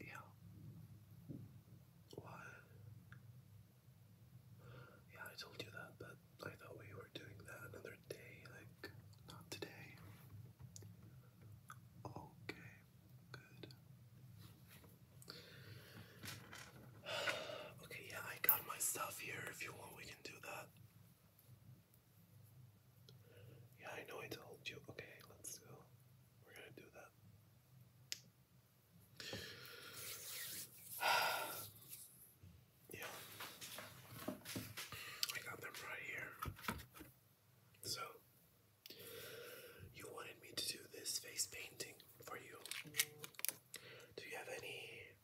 Yeah. Why? Yeah, I told you that, but I thought we were doing that another day, like, not today. Okay, good. Okay, yeah, I got my stuff here. If you want, we can do that. Yeah, I know I told you. Okay, let's go. We're gonna do that. yeah. I got them right here. So, you wanted me to do this face painting for you. Do you have any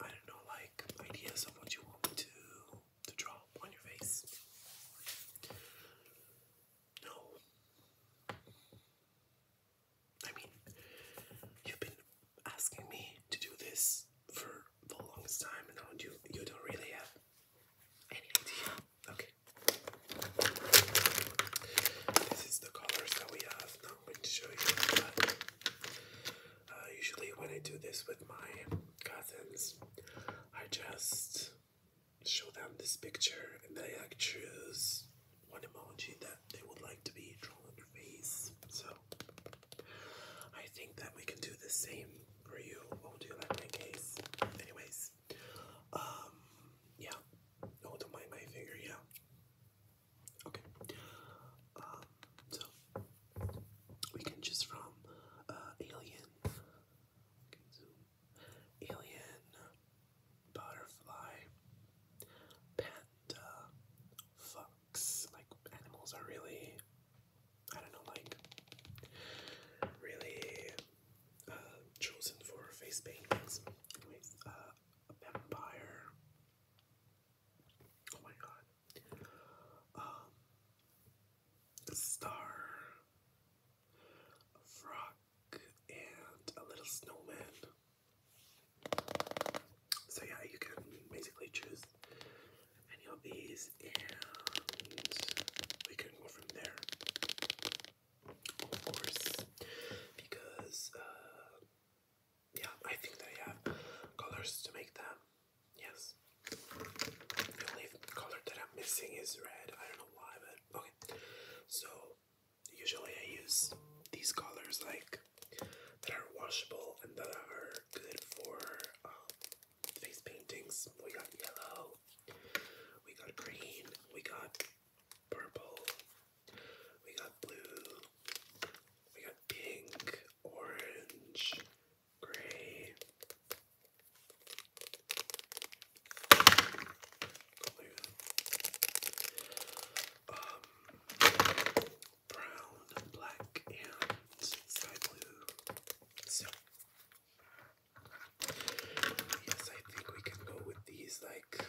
I don't know, like ideas of what you want me to to draw on your face. No. I mean, you've been asking me to do this for the longest time, and you you don't really have any idea. Okay. This is the colors that we have. Now I'm going to show you. Uh, usually, when I do this with my cousins, I just show them this picture and they like choose one emoji that they would like to be drawn on their face. So, I think that we can do the same for you. What do you like case? Anyways, um, yeah. Oh, don't my finger, yeah. Okay. Um, so we can just from uh, alien, okay, zoom, alien, butterfly, panda, fox. Like animals are really, I don't know, like really uh, chosen for face paintings. Anyways, uh, a vampire. Oh my god um, star, a frog, and a little snowman. So yeah, you can basically choose any of these, and we can go from there. Of course, because uh, yeah, I think that I have colors to make them. Yes. The only color that I'm missing is red. I don't know why, but okay. So usually I use these colors like that are washable and that are good for um, face paintings. We got yellow, we got green, we got purple, we got blue, we got pink, orange, gray. Blue. Um, brown, black, and sky blue. So, yes, I think we can go with these like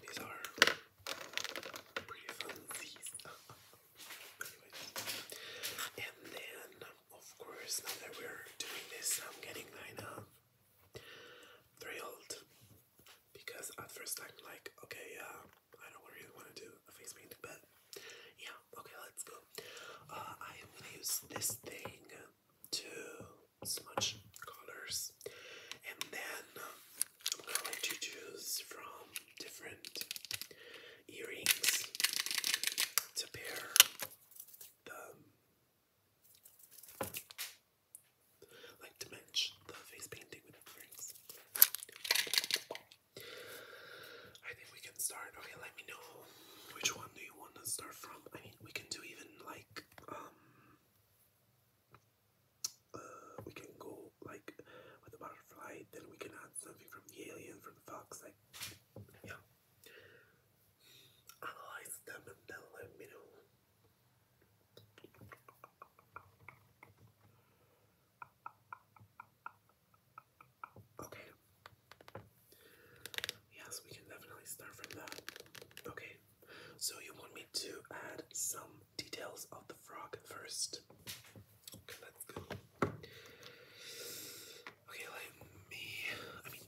these are pretty fancies. and then, of course, now that we're doing this, I'm getting kind thrilled because at first I'm like, okay, uh, I don't really want to do a face paint, but yeah, okay, let's go. Uh, I am gonna use this thing to smudge colors, and then I'm going to choose from different earrings to pair the like to match the face painting with the earrings. I think we can start. Okay, let me know which one do you want to start from. I mean, we can do even like um uh, we can go like with the butterfly, then we can add something from the alien, from the fox, like yeah. Analyze them and then let me know. Okay. Yes, we can definitely start from that. Okay. So you want me to add some details of the frog first. Okay, let's go. Okay, let me. I mean,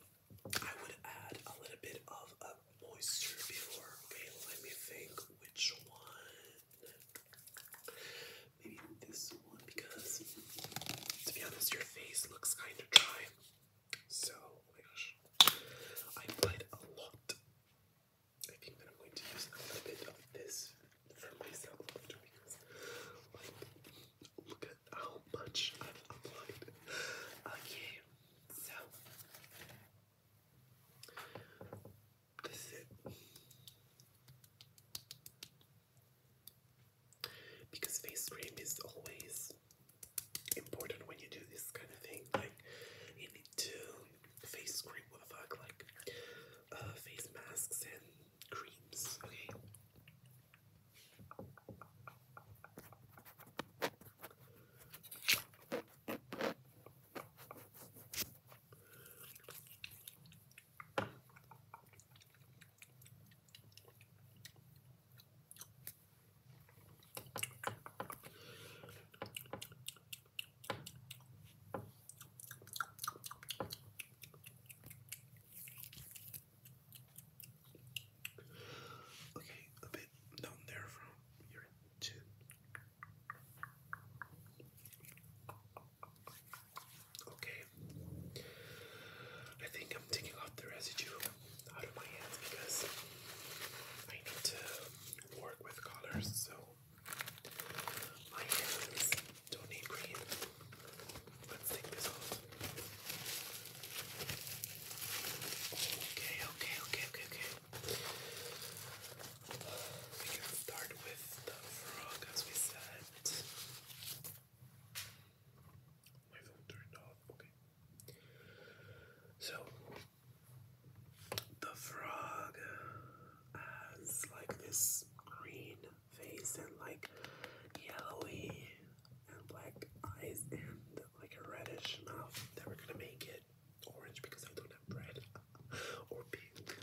I would add a little bit of uh, moisture before. Okay, let me think which one. Maybe this one because, to be honest, your face looks kind of dry. So, oh my gosh, I applied a lot I think that I'm going to use a little bit of this for myself after because, like, look at how much i applied. Okay, so this is Because face cream is always important when you do this kind of thing. Like, you need to face cream, what the fuck, like uh, face masks and creams, okay? Okay, a bit down there from your chin. Okay, I think I'm taking off the residue out of my hands because I need to work with colors, so my hands don't need green. Let's take this off. Okay, okay, okay, okay, okay. We can start with the frog as we said. My phone turned off. Okay. So the frog has like this green face and like yellowy and black eyes and like a reddish mouth. we're gonna make it orange because I don't have red or pink.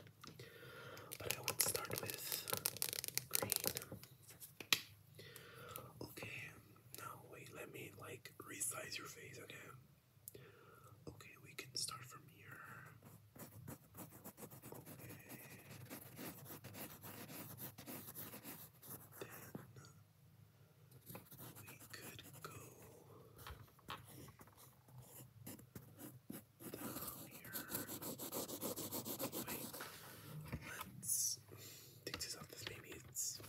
But I would start with green. Okay, now wait, let me like resize your face again. Okay, we can start from here. Okay. Then we could go down here. Wait, just thinks off, this baby. It's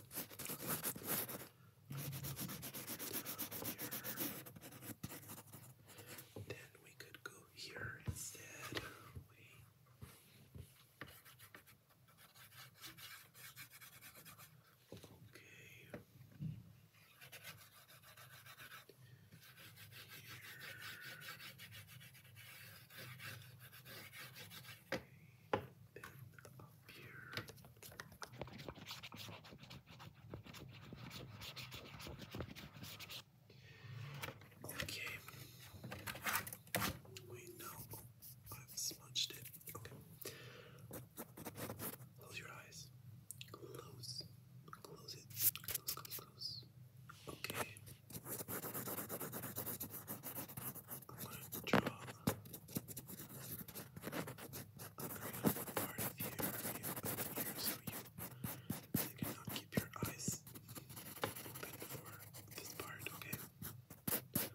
Then we could go here instead. Okay. Here. Okay. Wait, no. i smudged it. Okay. Close your eyes. Close. Close it. Close, close, close. Okay. Good job. I'm very hard of here, here, so you, you cannot keep your eyes open this part, okay? Okay.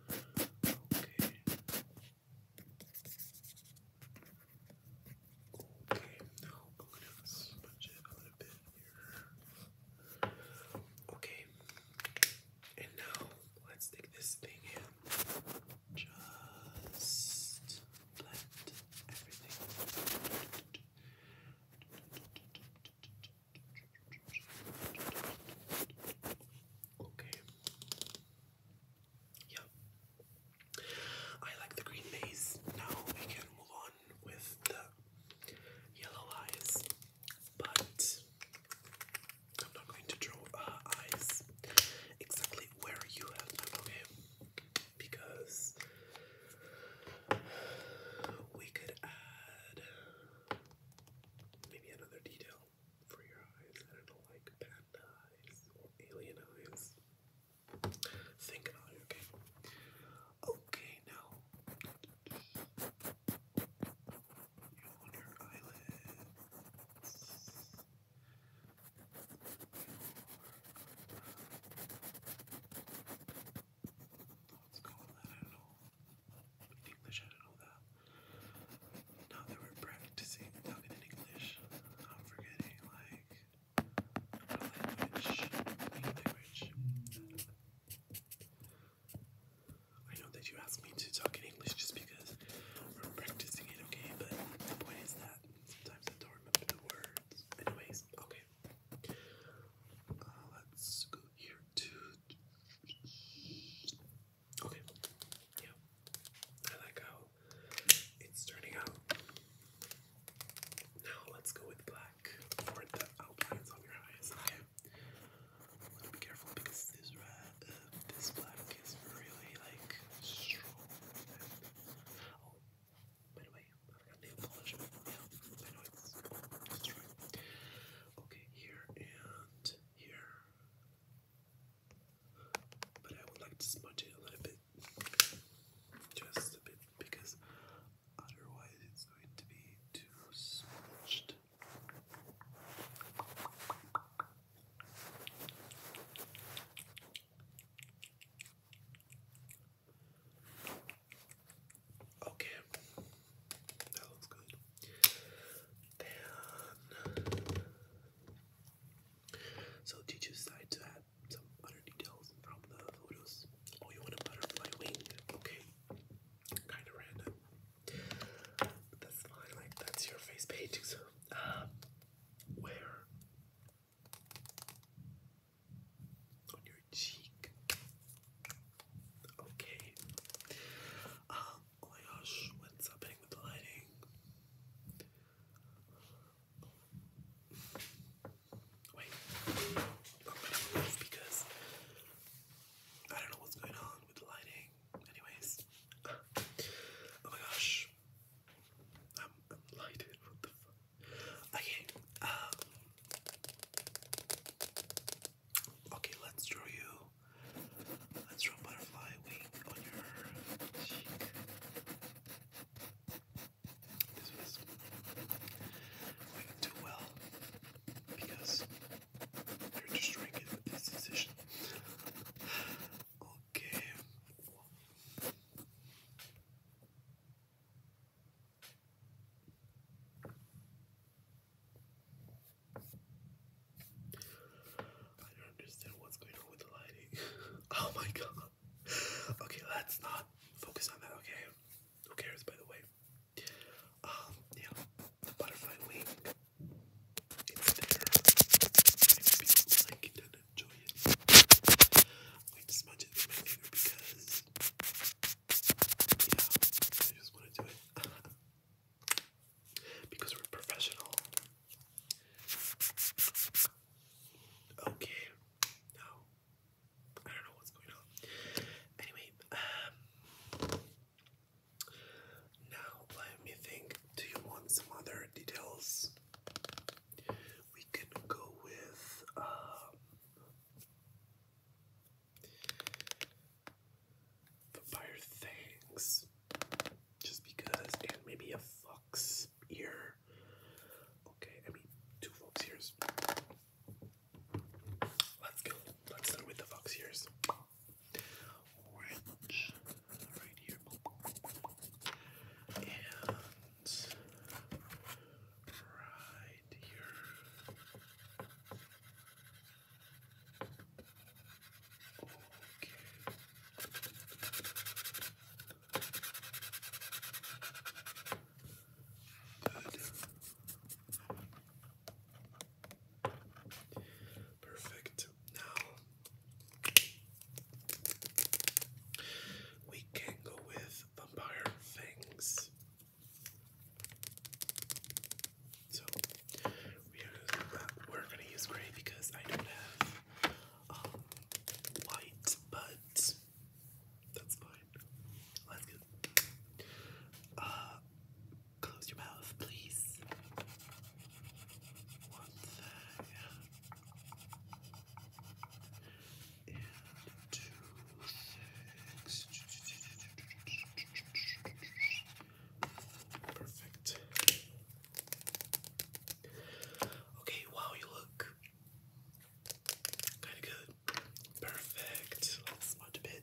Okay, now I'm going it a little bit here. Okay. And now let's stick this thing in. Just blend everything. Okay. Yep. I like the green base. Now we can move on with the yellow eyes, but I'm not going to draw uh, eyes exactly where you have done, okay? Because we could add maybe another detail for your eyes. I don't know, like panda eyes alien eyes. Think about okay? Okay, now on your eyelids. on? I don't know. In English, I don't that. Now that we're practicing talking in English, I'm forgetting like language, language. I know that you asked me to talk in English just because we're practicing it, okay? But the point is that sometimes I don't remember the words. Anyways, okay. Uh, let's go here Okay. Yeah. I like how it's turning out. Now let's go with black black for the outlines of your eyes. Okay. I'm going careful because this red, uh, this black is really like strong. oh, by the way, I got nail polish. Yeah, I right. Okay, here and here. But I would like to smudge it a little bit, just a bit, because otherwise it's going to be too smudged. Okay, that looks good. Then, so did you decide to add some other details from the photos? Oh, you want a butterfly wing? Okay. Kind of random. That's like, that's your face painting, Um, where? On your cheek. Okay. Um, oh my gosh, what's happening with the lighting? Wait, I'm gonna move because I don't know what's going on with the lighting. Anyways, oh my gosh, I'm, I'm lighted. What the fuck? Okay, um, okay, let's draw you. Let's draw butterfly wing on your cheek. This because you're destroying it with this decision. Okay. I don't understand what's going on with the lighting. oh my god. Okay, let's not focus on that, okay? Who cares, by the way? Um, yeah, butterfly wing. It's there. I hope you and enjoy it. I'm going it with my finger because, yeah, I just want to do it. because we're professional. Okay, now I don't know what's going on. Anyway, um, now let me think. Do you want some other details? We can go with. Um, Vampire things, just because, and maybe a fox ear. Okay, I mean two fox ears. Let's go. Let's start with the fox ears. Orange, right here, and right here. Okay. Perfect. Now we can go with vampire things. So we are, we're gonna use gray because I don't have um, white, but that's fine. Let's Uh, close your mouth, please. One Perfect. Okay, wow, you look Kind of good. Perfect. Let's smudge a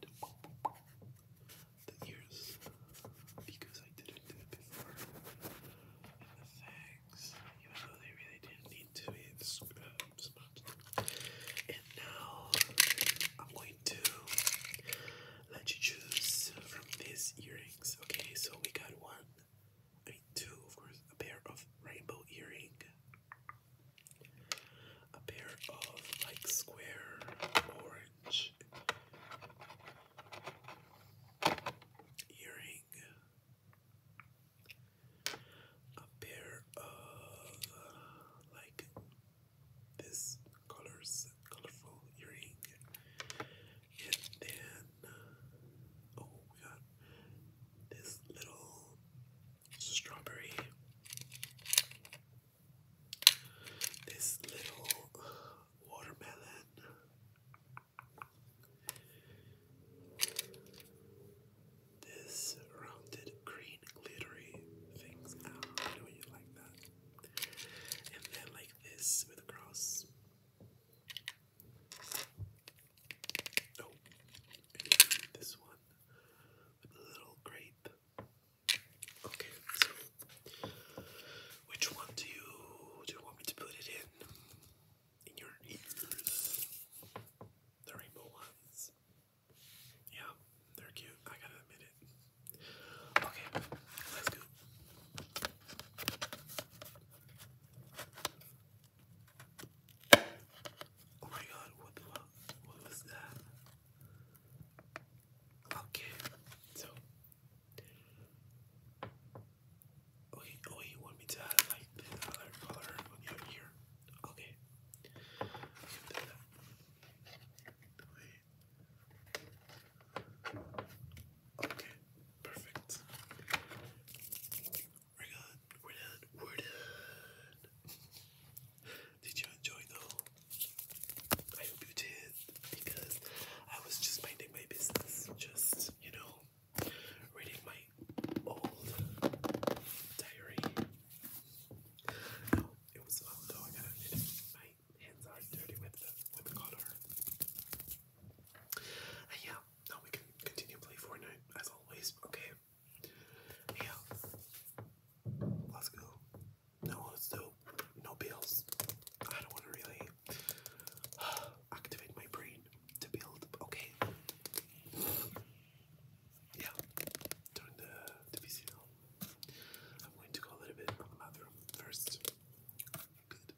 The ears, because I didn't do it before. And the fangs, even though they really didn't need to be smudged. And now I'm going to let you choose from these earrings. Okay, so we got one. I mean, of course, a pair of rainbow earring, a pair of like square orange earring, a pair of like this colors, colorful earring, and then. Uh, Oh, we got this little strawberry, this little watermelon. This rounded green glittery things ah, I know you like that. And then like this with a cross. Oh, this one little grape. Okay, so which one do you do you want me to put it in? In your ears, the rainbow ones. Yeah, they're cute. I gotta admit it. Okay, let's go. Oh my god, what the fuck? What was that? Okay, so. Oh, oh, you want me to add like the color on your ear? Okay. Okay, perfect. We're done. We're done. We're done. Did you enjoy though? I hope you did because I was just minding my business, just you know, reading my old diary. No, oh, it was a oh, ago. I got my hands are dirty with the with the color. Uh, yeah, now we can continue play Fortnite as always. Okay. Yeah. Let's go. No, let's do no bills. I don't want to really activate my brain to build. Okay. Yeah. Turn the, the PC I'm going to go a little bit on the bathroom first. Good.